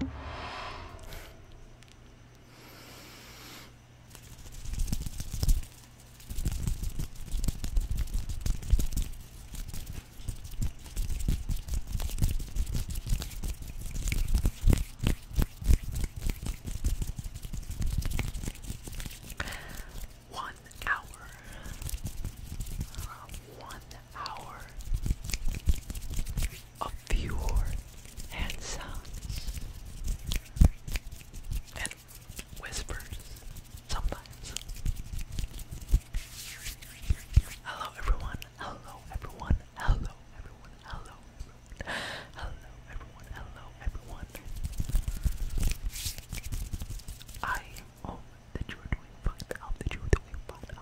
One hour. One hour of pure hand sounds and whispers sometimes. Hello everyone, hello everyone, hello everyone, hello hello everyone, hello everyone. I hope that you are doing fine, I hope you doing fine,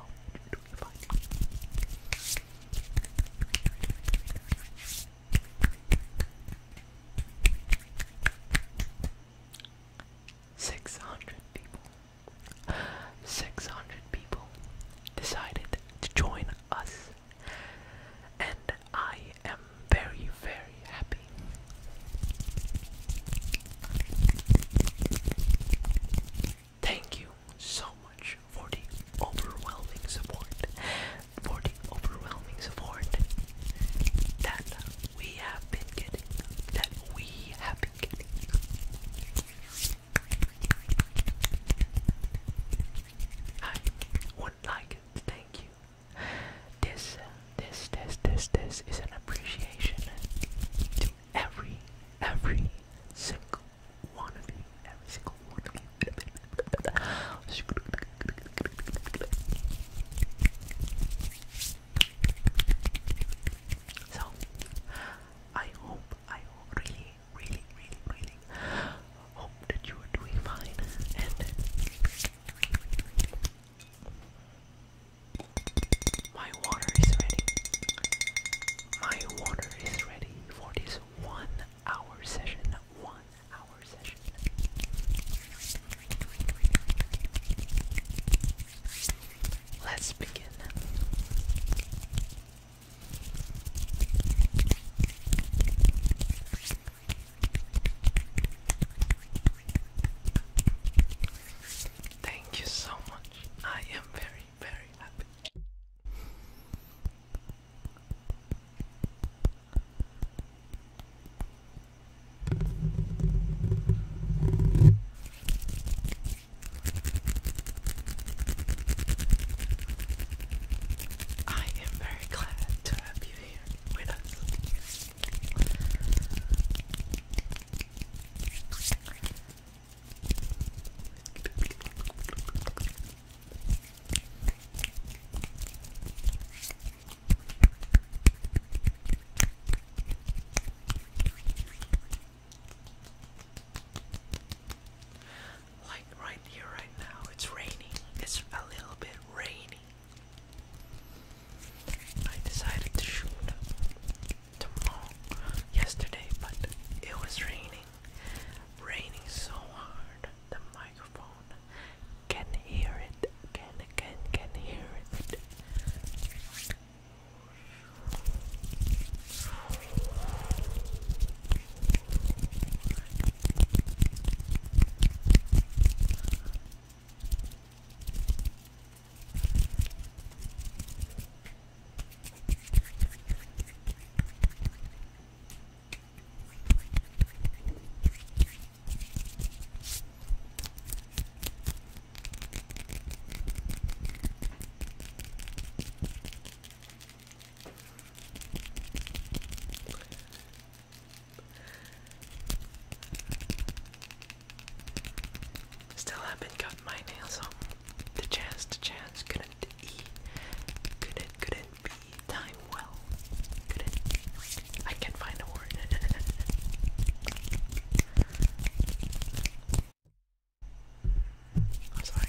Six hundred people. Six hundred people decided to join us, and I am very, very happy. Thank you so much for the overwhelming support, for the overwhelming support that we have been getting, that we have been getting. I would like to thank you. This, this, this, this, this is an appreciation to every, every single one of you, every single one of you. So, I hope, I really, really, really, really hope that you are doing fine and. My water is ready. My water is ready for this one hour session. One hour session. Let's begin. Thank you so much. I am very, very happy. I am very glad to have you here with like right here, right now, it's raining. It's a little bit rainy. I decided to shoot tomorrow yesterday, but it was raining. Raining so hard the microphone can hear it. Can can can hear it. Still haven't got my nails on. The chance, the chance, gonna couldn't couldn't, be time well, I can't find a word. I'm sorry.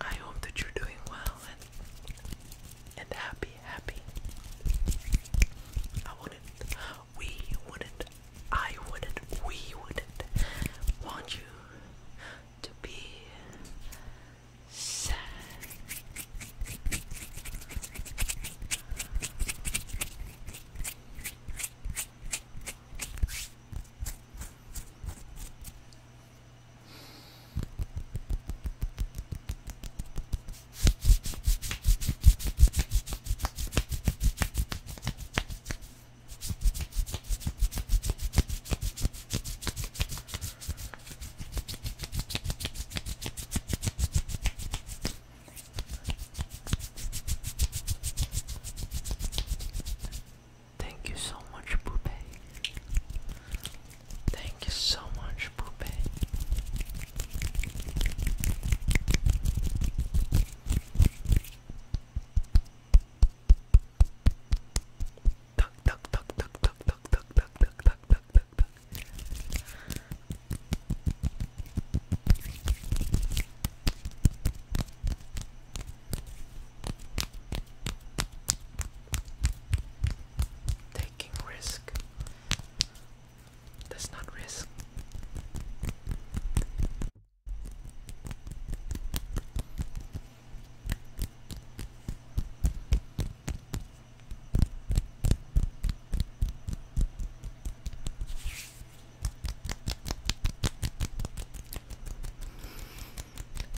I hope that you're doing well and, and happy, happy. I wouldn't, we wouldn't, I wouldn't, we wouldn't want you to be Sad. Thank you so much, Poopy. Thank you so much, Poopy tuck, tuck, tuck, tuck, tuck, tuck, tuck, tuck, tuck, tuck, tuck, tuck, tuck. Taking risk. That's not risk.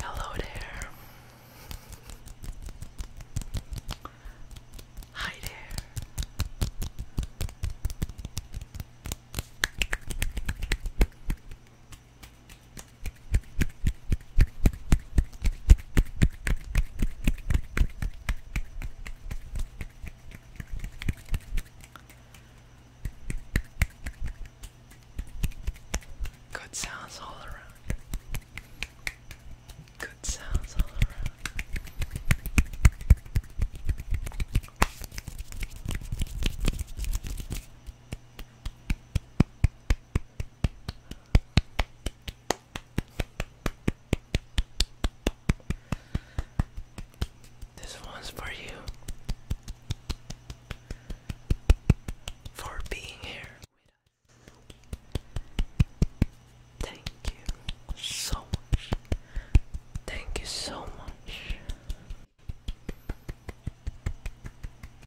Hello there. Hi there. Good sounds all around. Good sounds all around. This one's for you. For being here Thank you so much. Thank you so much.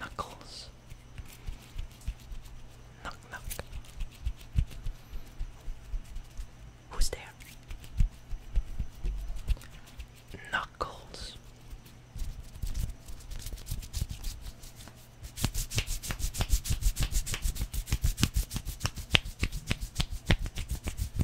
Knuckles. Knock, knock. Who's there? Knuckles.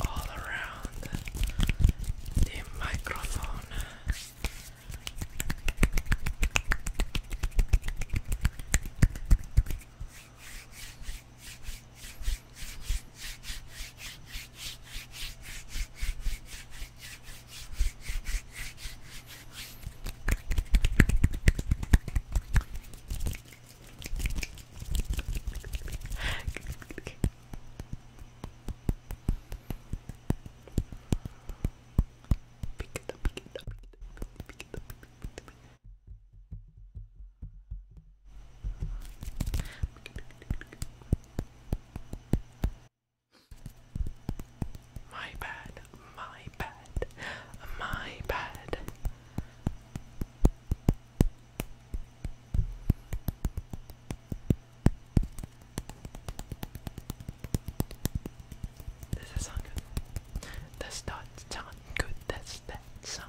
all around the microphone. Pick it My bad, my bad, my bad. Does that sound good? Does that sound good? Does that sound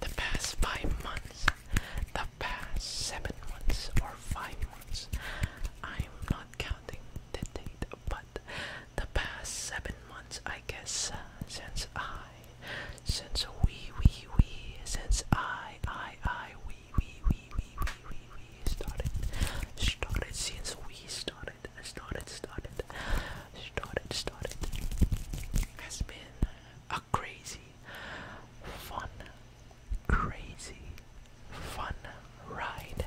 The past five months, the past seven months or five months, I'm not counting the date, but the past seven months, I guess, uh, since I since we, we, we, since I, I, I, we, we, we, we, we, we, we started, started, since we started, started, started, started, started, has been a crazy, fun, crazy, fun ride.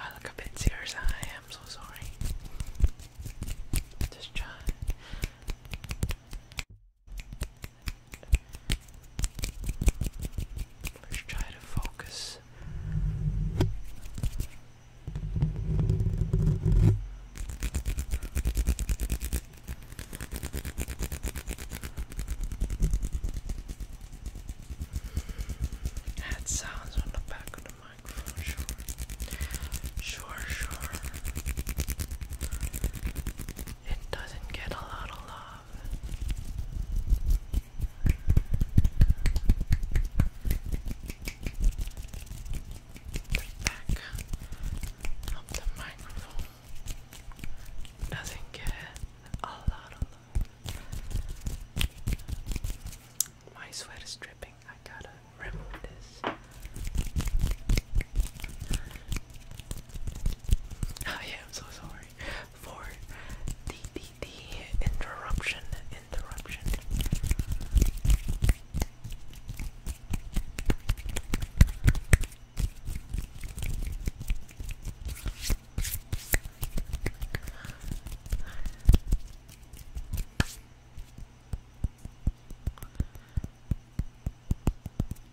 I look a bit serious. I am so sorry. Just try. Let's try to focus. That sounds on the back of the microphone, sure. Sure, sure. It doesn't get a lot of the back of the microphone doesn't get a My sweat is dripping. I gotta remove this. Oh, I am so sorry for the the the interruption interruption.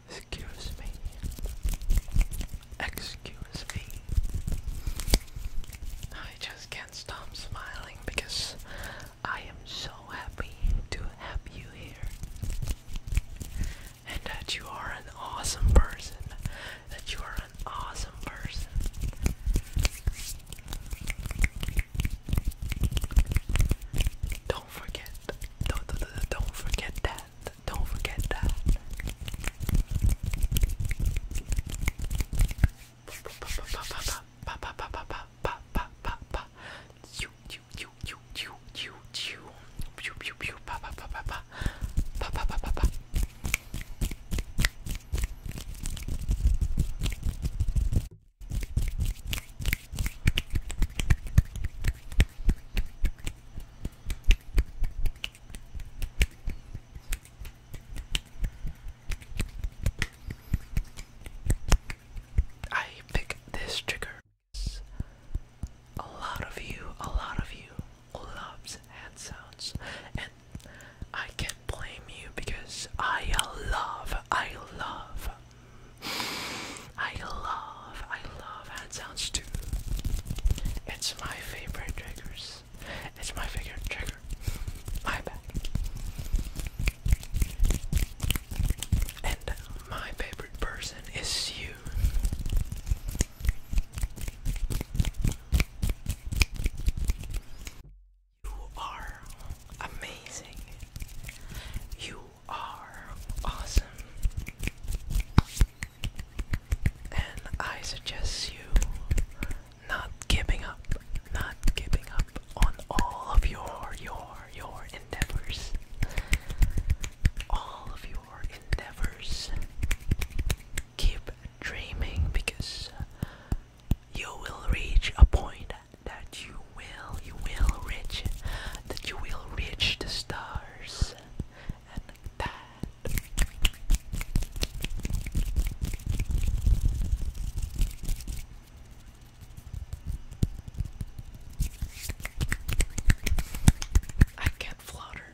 Excuse me. Excuse me. I just can't stop smiling because I am so happy to have you here. And that you are an awesome person. That you are an awesome person. Don't forget. Don't, don't, don't forget that. Don't forget that. I pick this trigger. A lot of you, a lot of you loves hand sounds, and I can't blame you because I love, I love I love, I love hand sounds too. It's my favorite triggers. It's my favorite trigger. My bad. And my favorite person is you. You are amazing. You are awesome. And I suggest you not giving up, not giving up on all of your, your, your endeavors. All of your endeavors. Keep dreaming because you will reach a point that you will, you will reach, that you will reach the stars and bad. I can't flounder.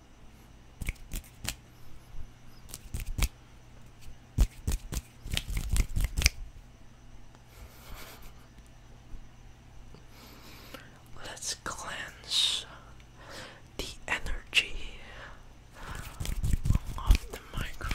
Let's cleanse the energy off the microphone.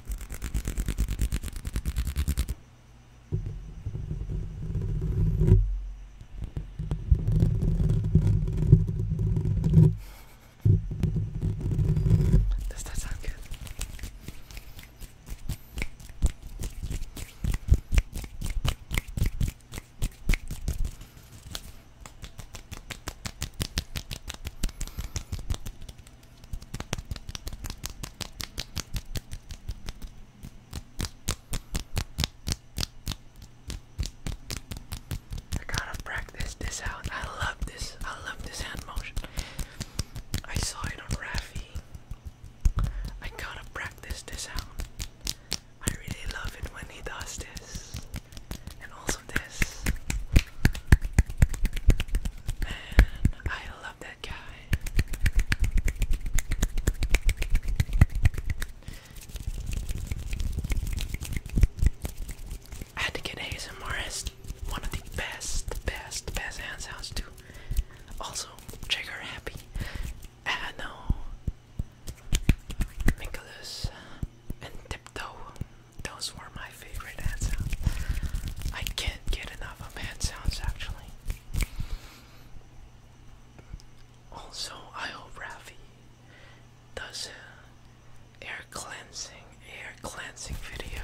Does that sound good? I gotta practice this out. I love this. I love this hand motion. I saw it on Rafi. I gotta practice this out. I really love it when he does this. And also this. Man, I that guy. I had to get ASMR one of the best, best, best hand too. Also, trigger happy. Ah Nicholas and Tiptoe. Those were my my favorite sounds. I can't get enough of hand sounds actually. Also, I does air cleansing, air cleansing video.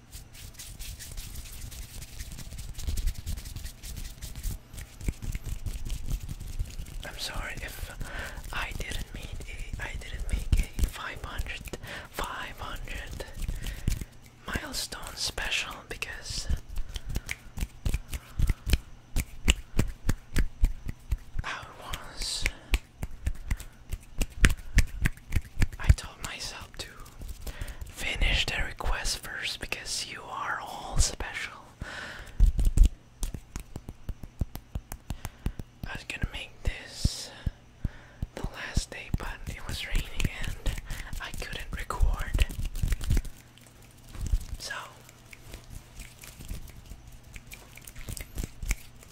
I'm sorry if I didn't meet a I didn't make a 500 500 milestone special because I was I told myself to finish the request first because you are all special. I was gonna make this the last day, but it was raining and I couldn't record. So,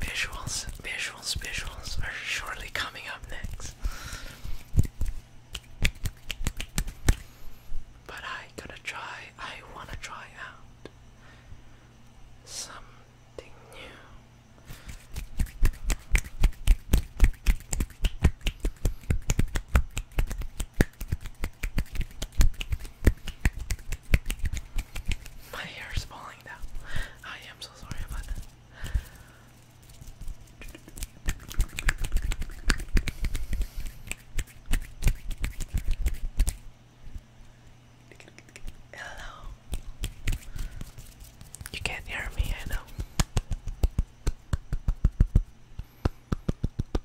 Visuals, visuals, visuals are shortly coming up next. But I gotta try, I wanna try out something new. My hair is falling down. I am so sorry about that. Hello. You can't hear me, I know.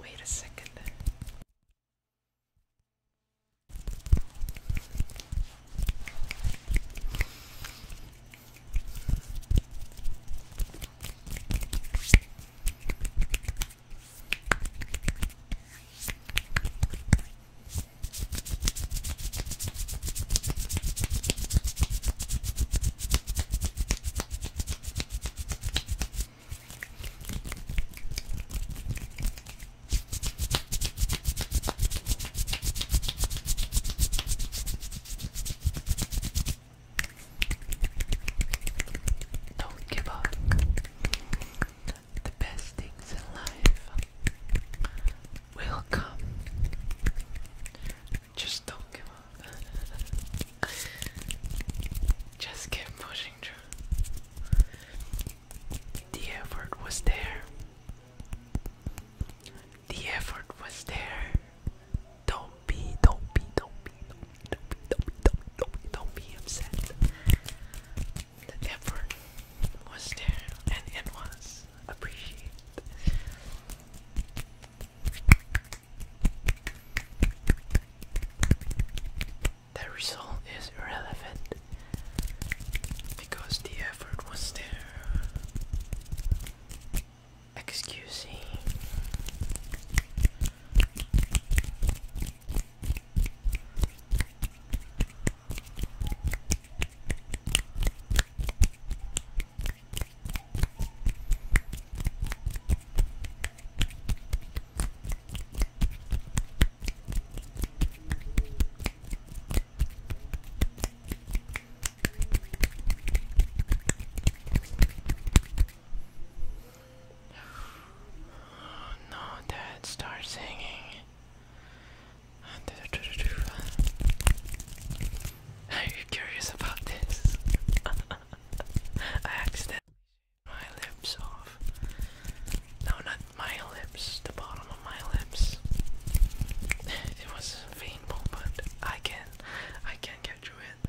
Wait a second. Don't give up. The best things in life will come. Just don't give up. Just keep pushing The effort was there. The effort was there. Don't be, don't be, don't be, don't be, don't be, don't don't be upset. The effort was there, and it was appreciate. The result is irrelevant because the effort was there. Excuse me. No, Dad, start singing. Are you curious about this? I accidentally my lips off. No, not my lips, the bottom of my lips. it was painful, but I can, I can get through it.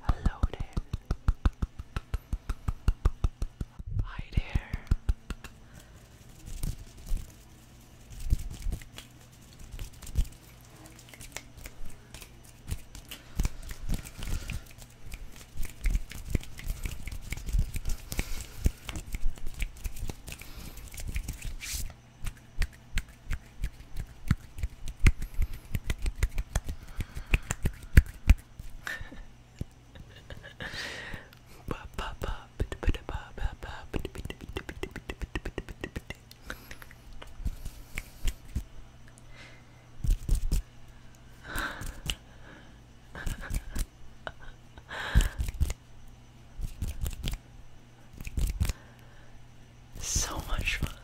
Hello there. Hi there so much fun.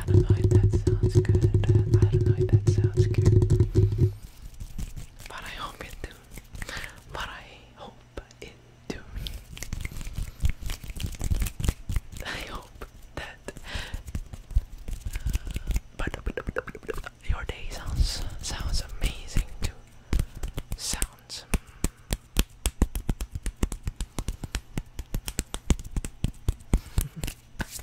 I don't know that sounds good. I don't know that sounds good. But I hope it do. But I hope it do. I hope that uh, your day sounds sounds amazing too. Sounds.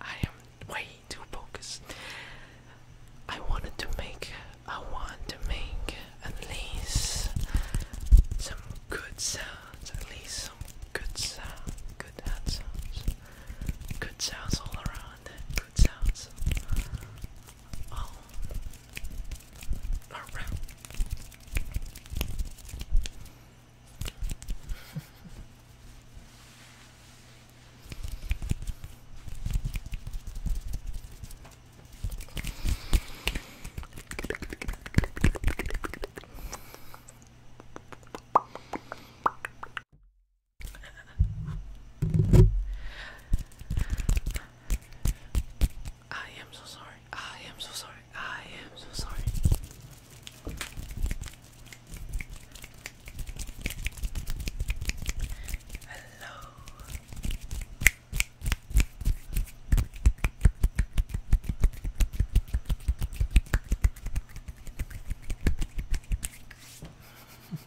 I am way too focused. I wanted to make, I want to make at least some good sounds, at least some good sound, good sounds, good sounds all around, good sounds. Oh. all around. I am so sorry. I am so sorry. I am so sorry. Hello.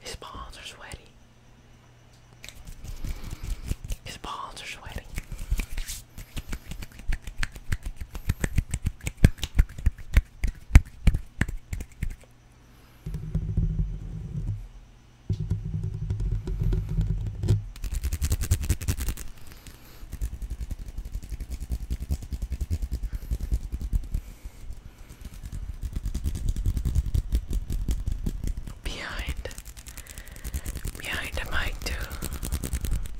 His balls are sweaty. His palms are sweaty. Behind, behind the mic too.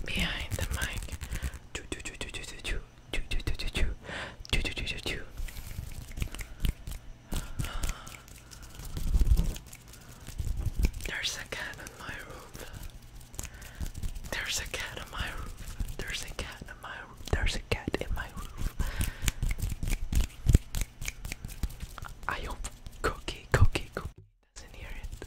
Behind the mic. Choo, choo, choo, choo, choo, choo. Choo, choo, choo, choo, choo. Choo, choo, choo, choo, There's a gun in my room. There's a cat in my roof. There's a cat in my roof. There's a cat in my roof. I hope Cookie, Cookie doesn't hear it.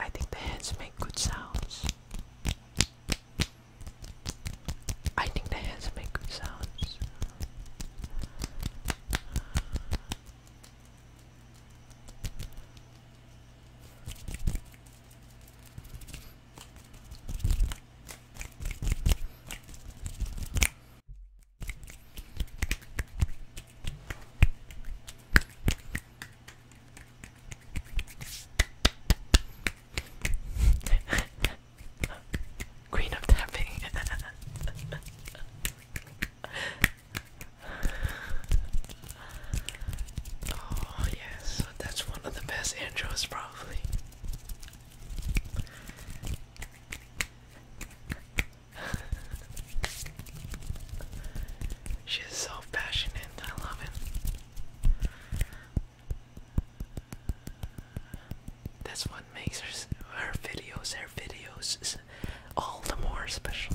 I think the hands make good sounds. I think the hands make good sounds. Queen of tapping. oh yes, that's one of the best intros probably. She's so passionate, I love it. That's what makes her, videos, her videos, all the more special.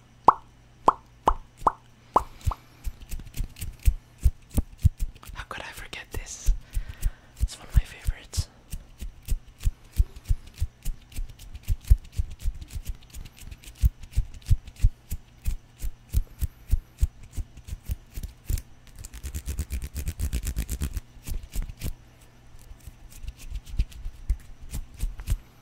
How could I forget this? It's one of my favorites.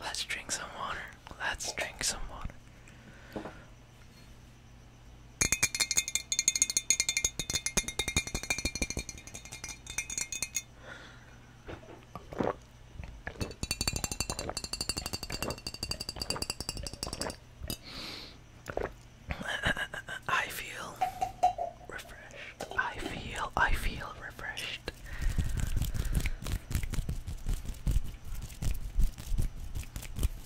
Let's drink some water. Let's drink some water. I feel refreshed. I feel, I feel refreshed.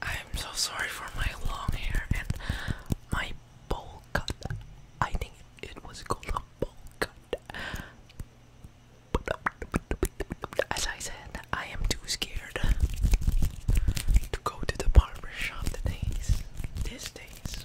I am so sorry for my long hair and my bowl cut. I think it was called a bowl cut. As I said, I am too scared to go to the barber shop today's these days.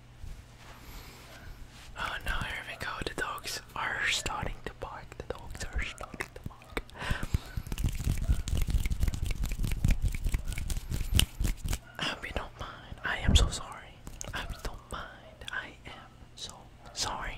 Oh no, here we go. The dogs are starting to bark. The dogs are starting to bark. I hope you don't mind. I am so sorry. I hope you don't mind. I am so sorry.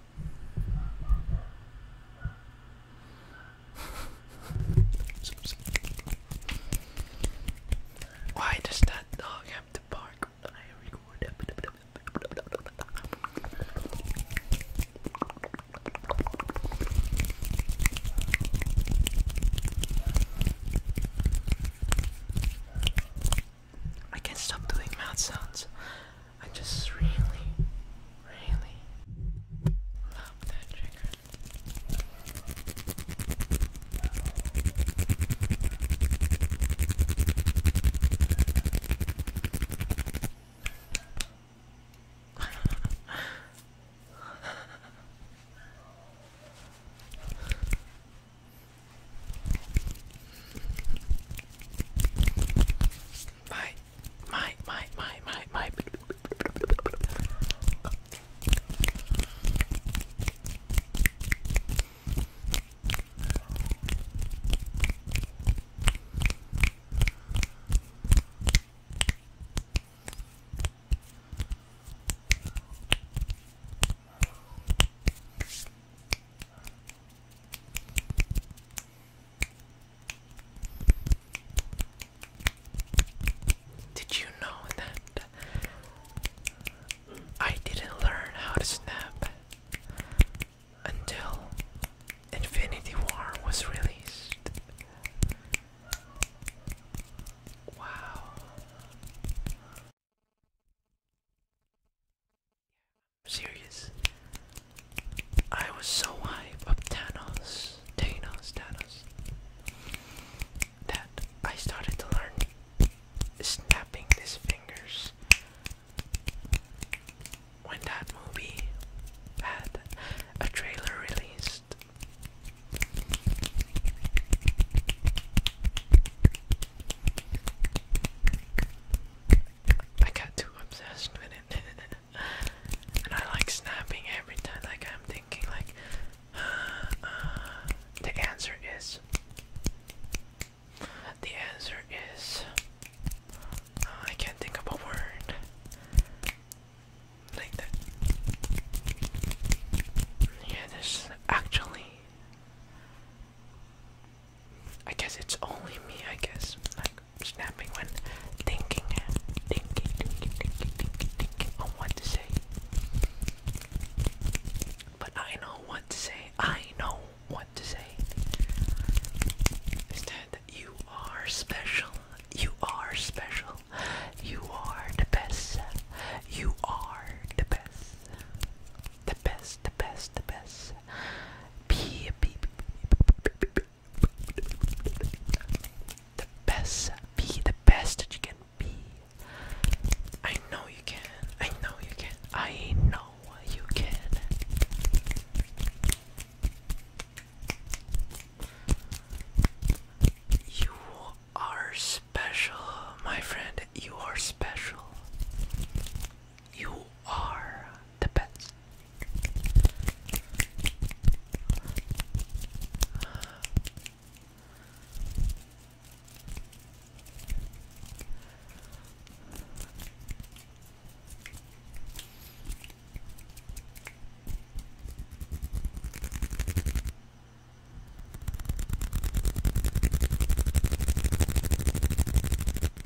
Why does that dog have to bark when I record? I can't stop doing mouth sounds. I just really, really love that trigger. my, my, my, my, my, my. Did you know that I didn't learn how to snap until Infinity War was released? Wow serious. I was so hype of Thanos, Thanos, Thanos, that I started to learn snapping his fingers. When that movie had a trailer released, I got too obsessed with it. and I like snapping every time. Like I'm thinking, like uh, the answer is the answer is uh, I can't think of a word like that. Yeah, this actually. I guess it's only me. I guess like snapping when thinking, thinking, thinking, thinking, thinking, thinking on what to say. But I know what to say. I know what to say. Is that you are special. You are special. You are the best. You are the best. The best, the best, the best. Be, be, be, the best. Be the best that you can be. I know you can. I know you can. I know you can. You are special, my friend. You are special. You are the best.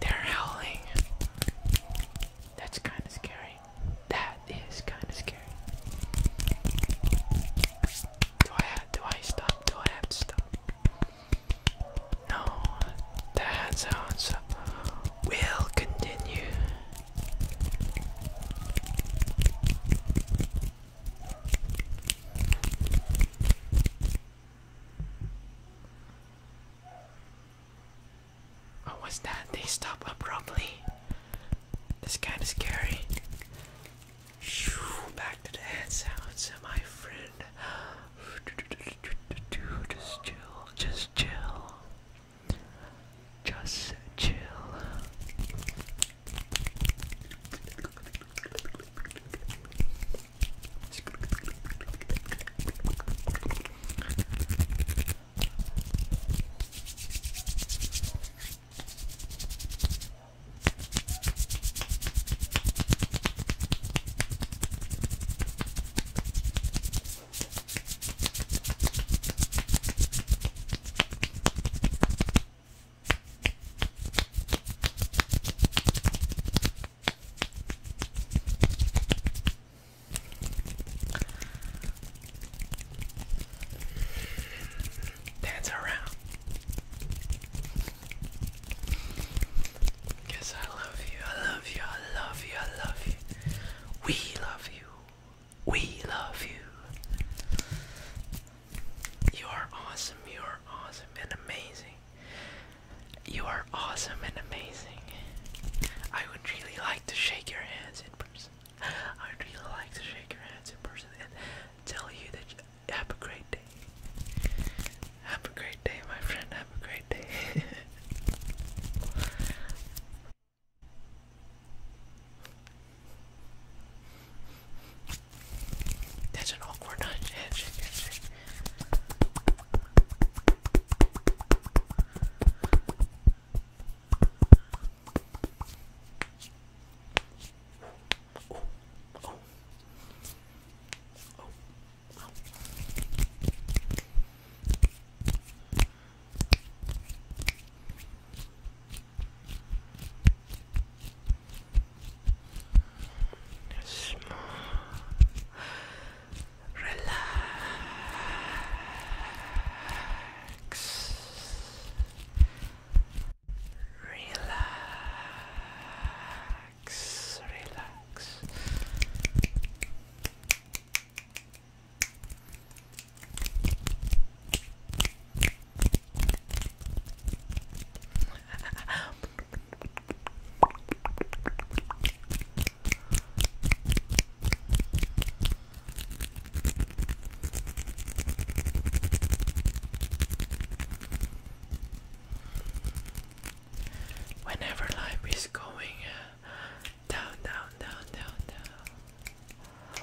They're howling. That's kind of scary. That is kind of scary. Do I have, do I stop? Do I have to stop? No, that sounds uh, will continue. Oh, what was that? They stopped abruptly. This kind of scary. Back to the sounds, my friend. Just chill, just chill. Just chill. Dance around. Cause I love you, I love you, I love you, I love you. We love you. We love you. You are awesome. You are awesome and amazing. You are awesome and amazing. I would really like to shake your hands in person. I would really like to shake your hands in person and tell you that have a great day. Have a great day, my friend. Have a great day. That's an awkward handshake. Just more relax. Relax, relax. Whenever life is going down, down, down, down, down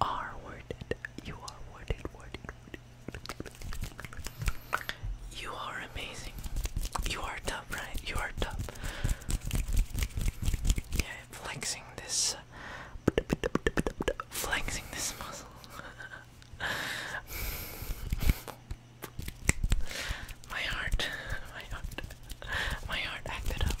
are worth You are worth it, worth You are amazing. You are top, right? You are top. Yeah, flexing this, flexing this muscle. my heart, my heart, my heart acted up.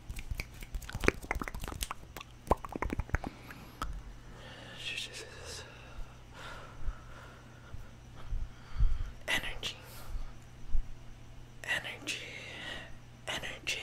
Energy. Energy. Energy.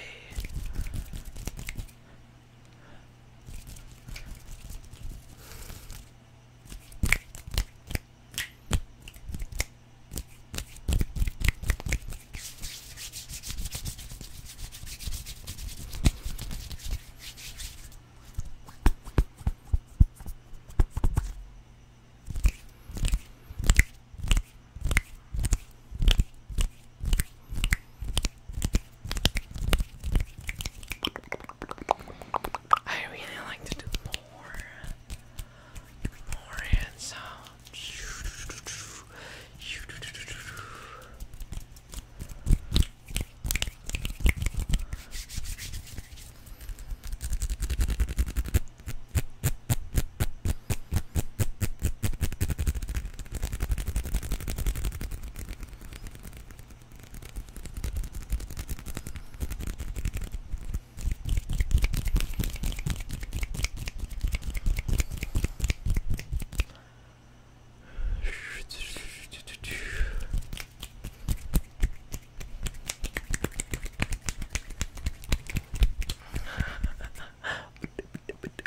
I really like to do more more handsome.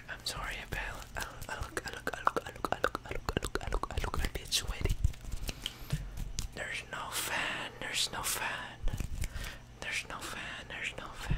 I'm sorry, pal. I look, I look, I look, I look, I look, I look, I look, I look, I look a bit sweaty. There's no fan. There's no fan. There's no fan, there's no fan.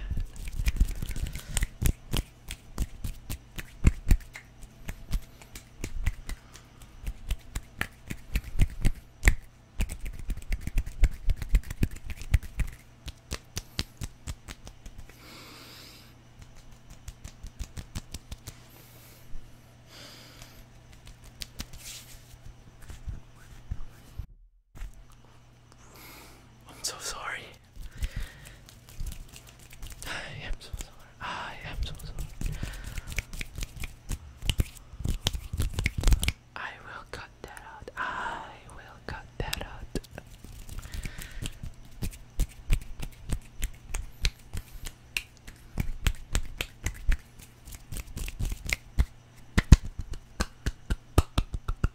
I'm so sorry. I am so sorry. I am so sorry. I will cut that out. I will cut that out.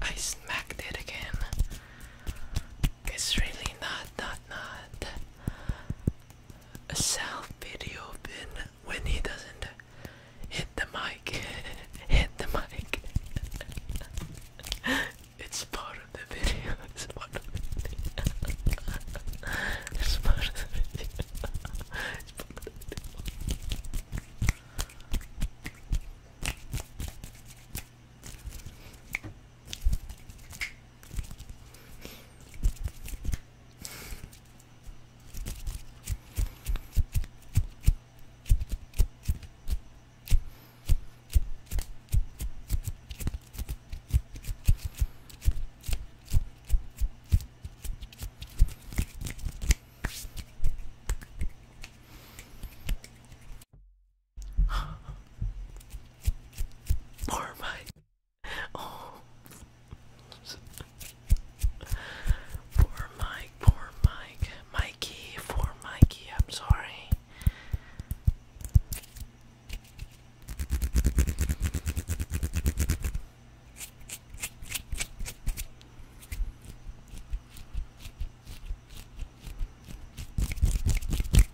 I smacked it again. It's really not, not, not a self video when he doesn't hit the mic. hit the mic. It's part of the video. it's part of the video. it's part of the video. More of my Poor Mike, poor Mike. Mikey, poor Mikey, I'm sorry.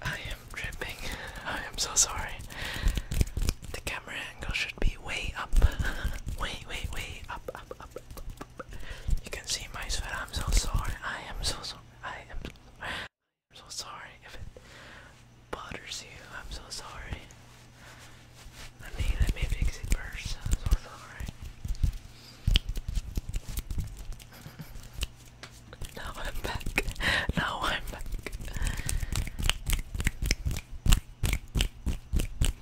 I am dripping. I am so sorry. The camera angle should be way up. way, way, way up, up, up, you can see my sweat. I'm so sorry. I am so sorry. I am so sorry. if it bothers you. I'm so sorry. Let me let me fix it first. I'm so sorry. Now I'm back. Now I'm back.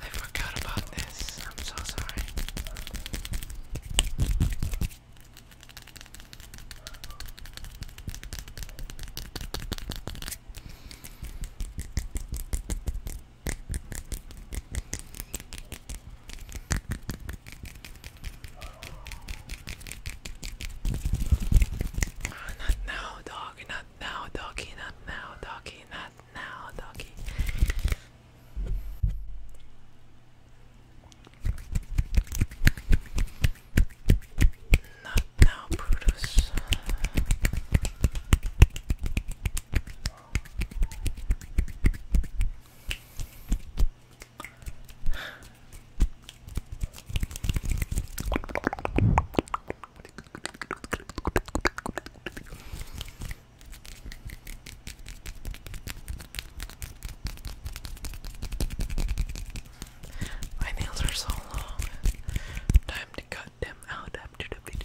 I forgot about this. I'm so sorry. Not now, doggy, not now, doggy, not now, doggy, not now, doggy. Not now, Brutus. My nails are so long. Time to cut them out after the video.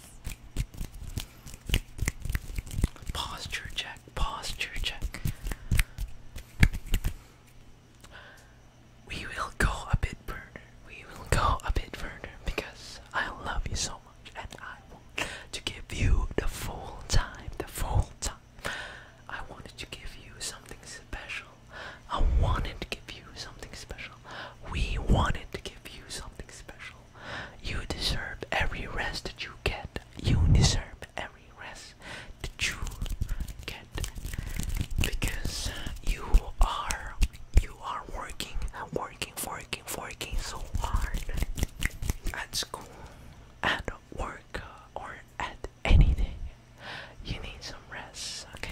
Posture check, posture check. We will go a bit further. We will go a bit further because I love you so much and I want to give you the full time, the full time. I wanted to give you something special. I wanted to give you something special. We wanted to give you something special. You deserve every rest that you get. You deserve every rest that you get because you are you are working, working, working, working so hard at school, at work, or at anything. You need some rest, okay?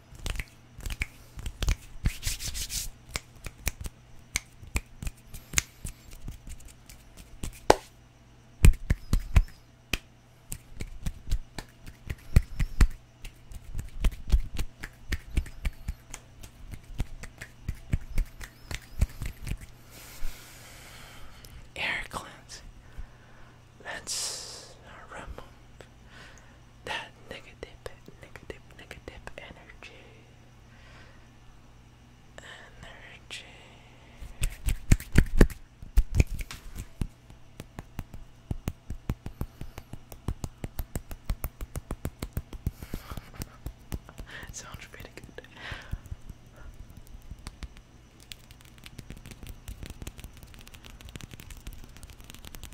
Air cleanse. Let's remove that negative, negative, negative energy. Energy. sounds pretty good.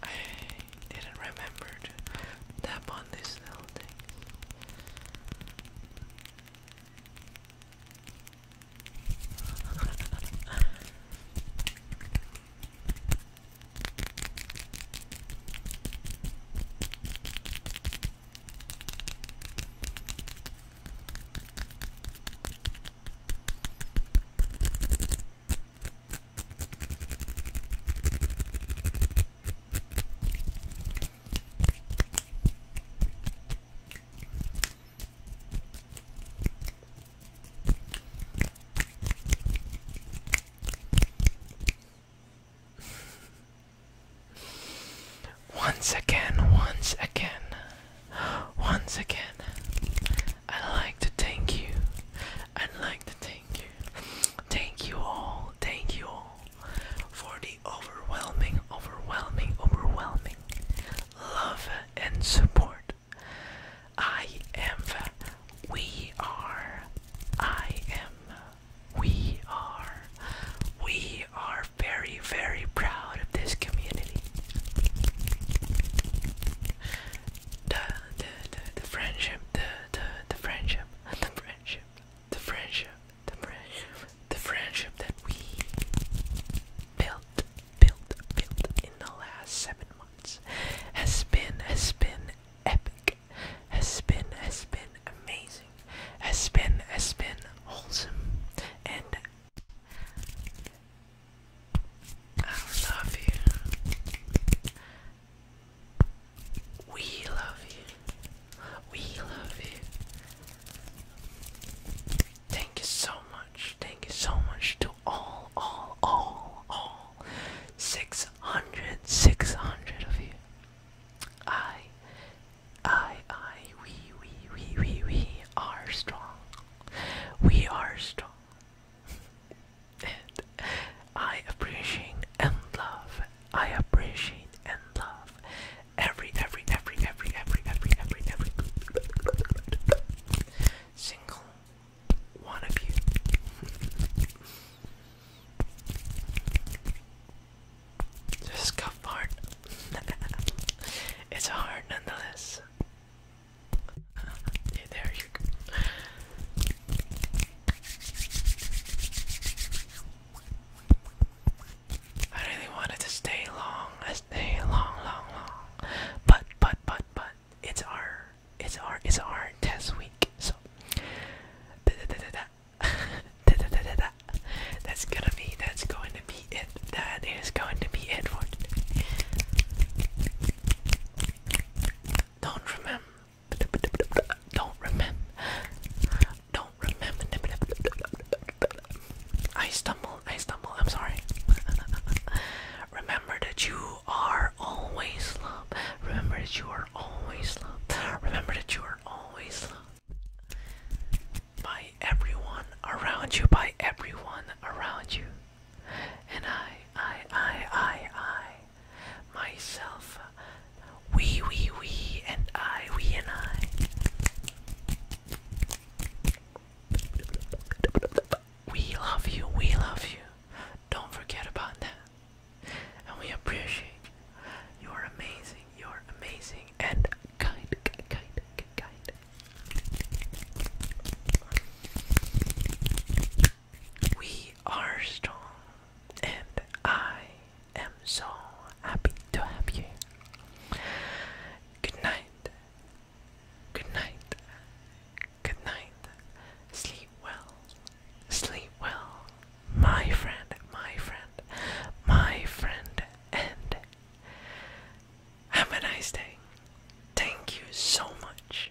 I didn't remember to tap on this little thing. Once again, once again, once again, I'd like to thank you. i like to thank you. Thank you all. Thank you all for the overwhelming, overwhelming, overwhelming love and support. I am. We are. I am. We are. We are very, very proud of this community. The, the, the, the friendship the the the friendship, the friendship, the friendship, the friendship, the friendship that we built, built, built in the last seven months has been has been epic, has been has been amazing, has been has been wholesome, and I love you. We love you. We love you. Thank you so much. Thank you so much to all, all, all, all 600, 600 of you. I, I, I, we, we, we, we, we are strong. We are strong and I appreciate and love. I appreciate and love every, every, every, every, every, every, every, every single one of you. Just cuff hard. it's hard nonetheless there you go. I really wanted to stay long, stay long, long, long. But, but, but, but, it's our, it's our, it's our test week. So, da da da da da. da, da, da, da, da. That's gonna be, that's going to be it. That is going to be it Don't remember, don't remember. Don't remember. I stumble. I stumble. I'm sorry. Remember that you are always loved. Remember that you are always loved. Remember that you are always loved by everyone around you. By everyone around you. And I, I, I, I, I, myself, we, we, we, and I, we, and I. We love you, we love you. Don't forget about that. And we appreciate you're amazing, you're amazing, and kind, kind, kind. We are strong, and I am so happy to have you. Good night, good night, good night. Sleep well, sleep well, my friend, my friend, my friend, and have a nice day. Thank you so much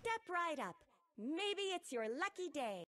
Step right up. Maybe it's your lucky day.